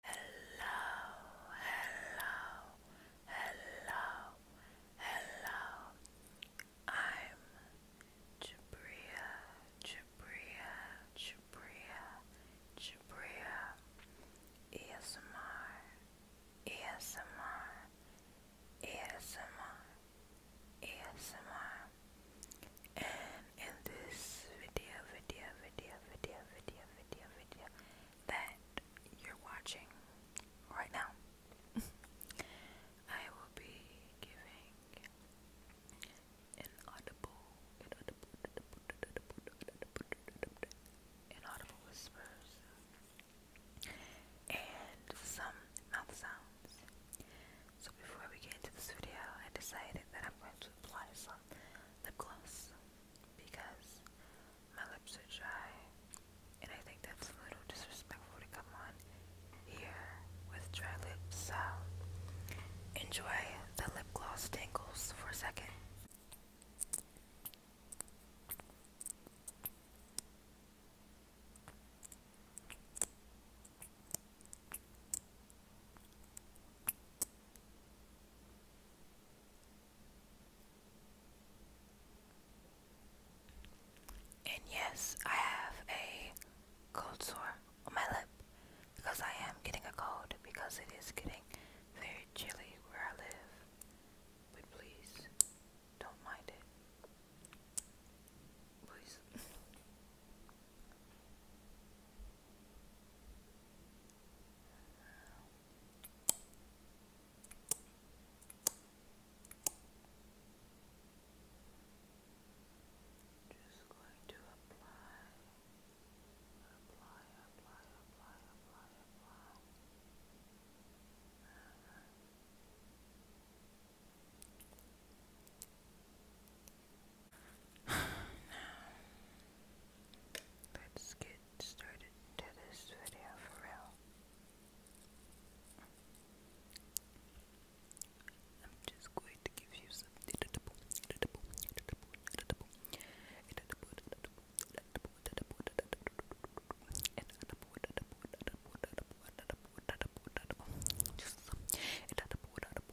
hello, hello, hello. I'm Jabria, Jabria, Jabria, Jabria. ASMR, ASMR, ASMR, ASMR. And and in this video, video, video, video, video, video, video that you're watching right now, I will be giving an audible, an audible, an audible whispers and some mouth sounds. So before we get into this video, I decided that I'm going to apply some lip gloss because my lips are dry, and I think that's a little disrespectful to come on here with dry lips. So, enjoy the lip gloss tangles for a second. And yes, I have a cold sore on my lip because I am getting a cold because it is getting very chilly where I live. But please don't mind it. Please. Just going to apply, apply, apply, apply, apply, apply. Let's get started to this video for real. I'm just going to give you some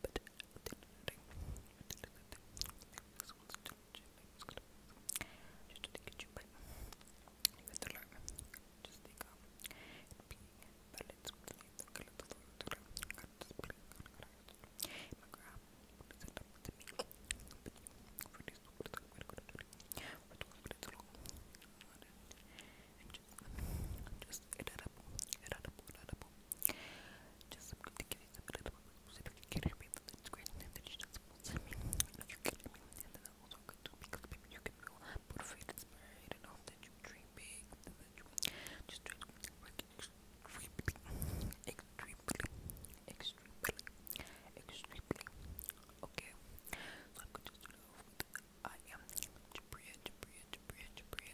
but just to get you but you have to learn just take um be balance with the color to my grab set up with me but for this to put it good but to put it along and just just it edible, Just to give you some edible so if you can me, then it's great. And then she me. if you can hear me, and then that's also good too because maybe you can feel put free inspired and all that you're dreaming. that you just dream like extremely, extremely, extremely, extremely. Okay. So I'm going to start off I am Jabria, Jabria, Jabria, Jabria.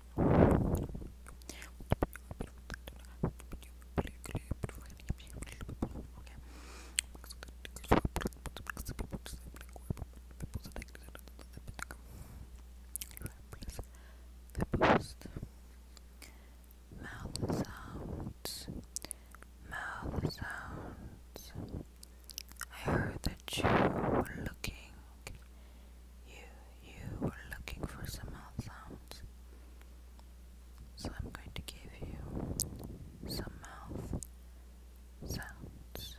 Mouth sounds. Mouth sounds. I heard that you were looking talk. You, you were looking for some mouth sounds. So I'm going to give you some mouth sounds.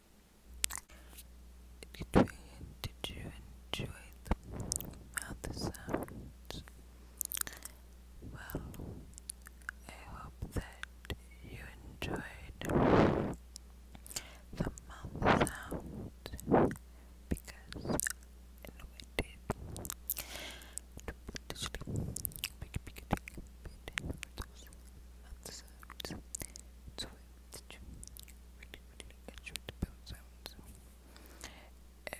Did you enjoy the mouth sounds? Well, I hope that you enjoyed the mouth sounds because I did such really, really good short bone sounds. And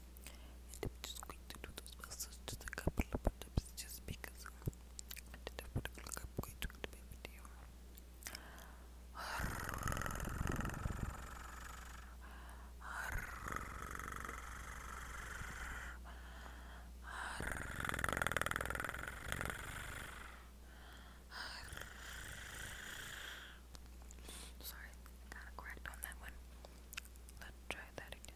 And I'm just going to do those muscles just a couple of times just because I didn't want to look up going to the video. Sorry, I got a correct on that one. Let's try that again.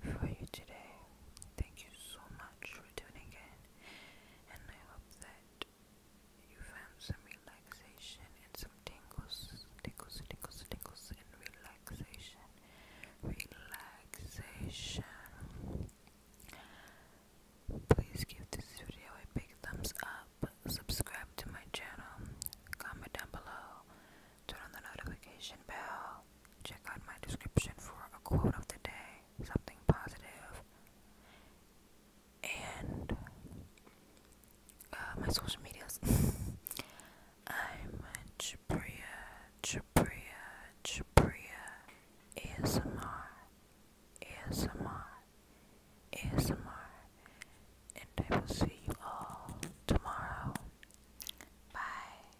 for you today. Thank you so much for tuning in, and I hope that you found some relaxation and some tingles, tingles, tingles, tingles, and relaxation, relaxation. Please give this video a big thumbs up, subscribe to my channel, comment down below, turn on the notification bell. Check out my description for a quote of the day, something positive, and uh, my social medias. I'm Jabria, Jabria, Jabria, ASMR, ASMR, ASMR, and I will see you all tomorrow. Bye,